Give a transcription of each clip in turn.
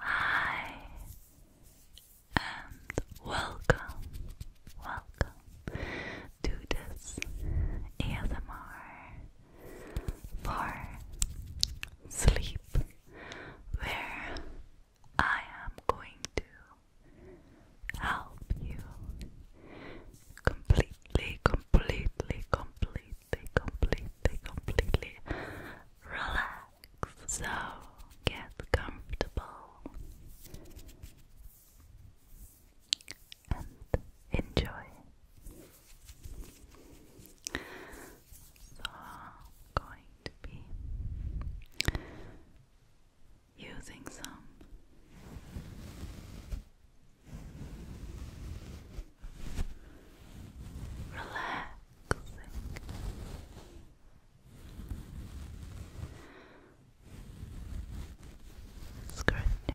Hi and welcome, welcome to this ASMR for sleep where I am going to help you completely, completely, completely, completely, completely relax. So get comfortable and enjoy. So going to be using some relaxing scratching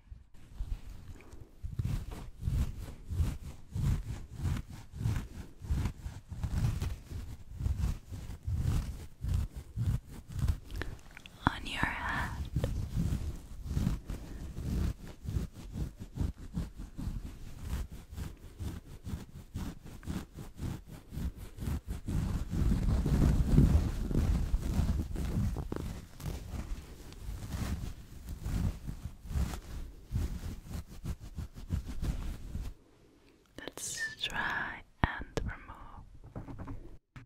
on your head. Let's try and remove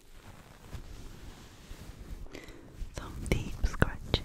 Some deep scratching.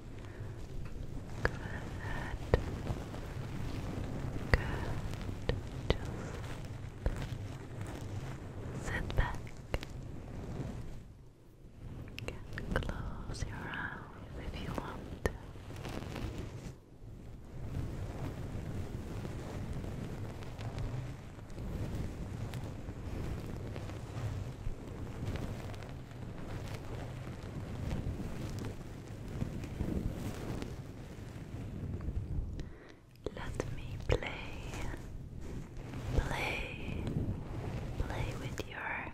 Good. Good. sit back. close your eyes if you want to. Let me play, play, play with your hair.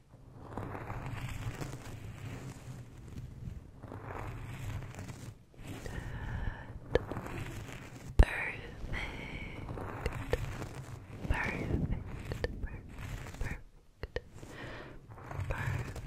Perfect. Perfect. Perfect. Perfect. Perfect. Perfect.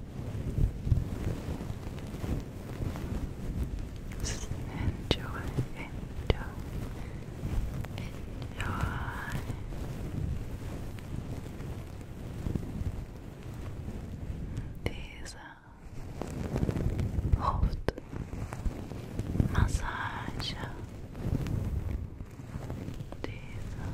Just enjoy, enjoy, enjoy. Dieser Hautmassage. Dieser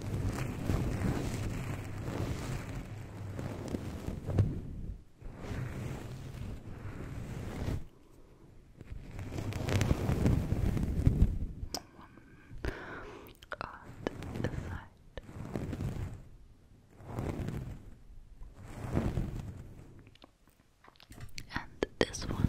the side. And this one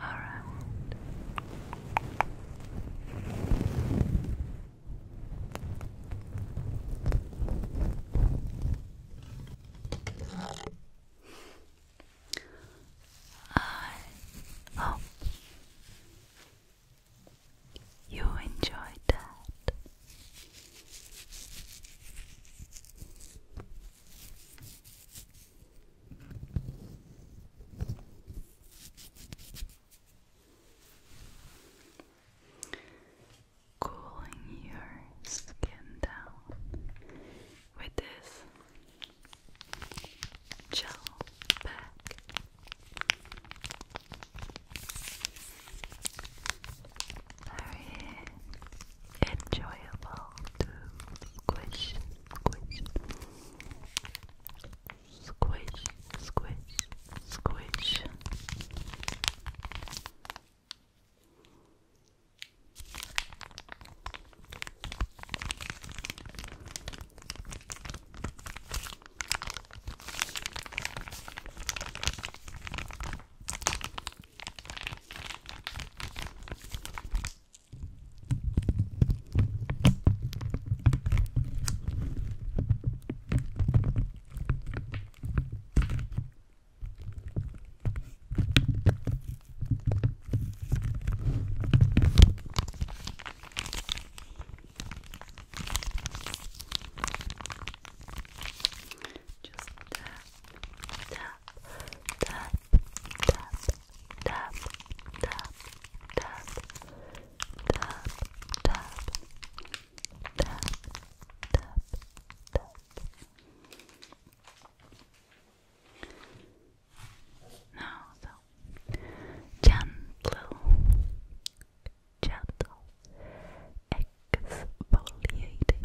Alright. I uh, hope oh. you enjoyed that. Cooling your skin down with this gel pack. Very enjoyable to squish, squish, squish, squish, squish. Just tap, tap, tap, tap, tap, tap, tap, tap, tap, tap, tap, tap. Now, so gentle, gentle, exfoliating.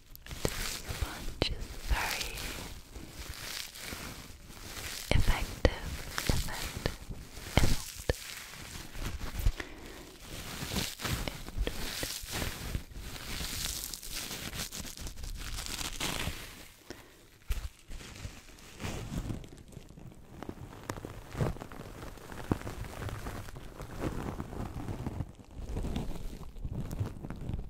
This sponge is very effective,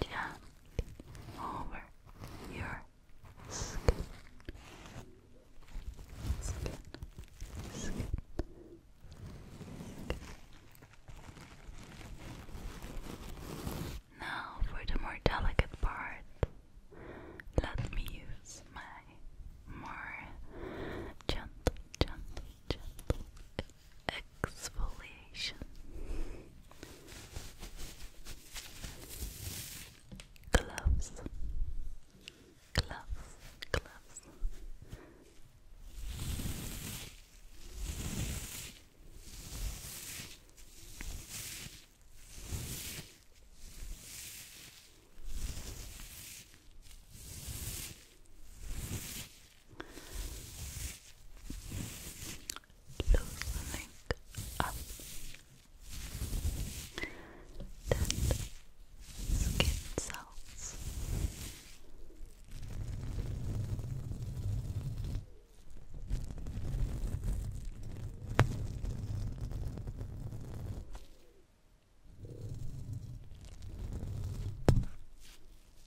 gently over your skin. Skin, skin, skin. Now, for the more delicate part, let me use my more gentle, gentle, gentle, exfoliation. Gloves, gloves, gloves loosening up dead skin cells.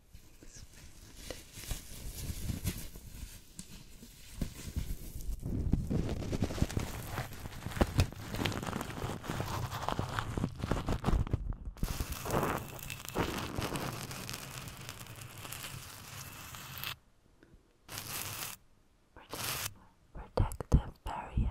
Protective, protective barrier.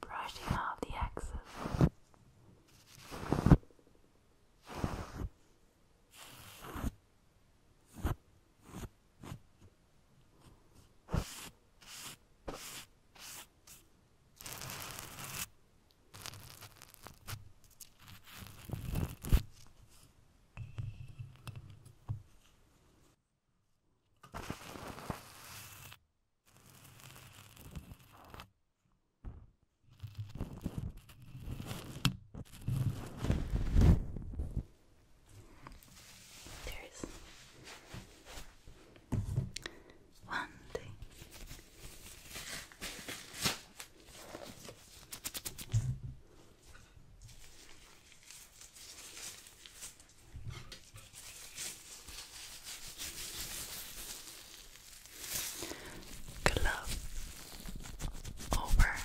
Brushing off the excess. Brushing there's one day. Glove over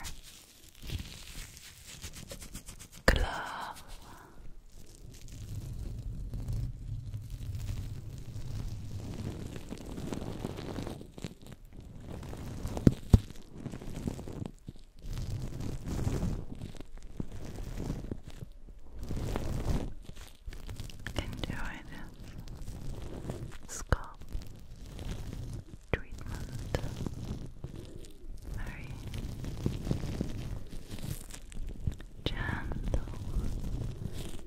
glove Enjoy this scalp treatment. Very gentle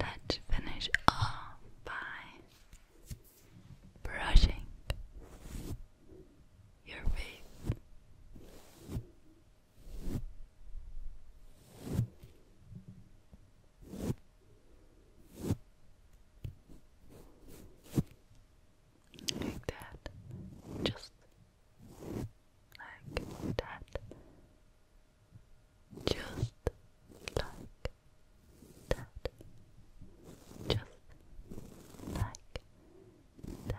Let's finish off by brushing your face like that. Just like that. Just like that. Just like that.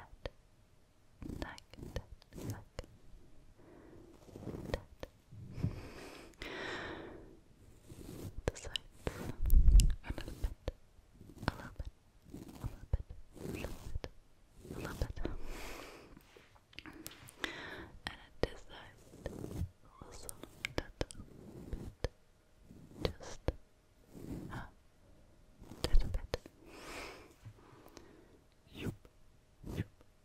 Tuck, tuck, tuck. Tuck. The sides a little bit, a little bit, a little bit, a little bit, a little bit. And this side, also little bit, just a little bit. Yup, yup,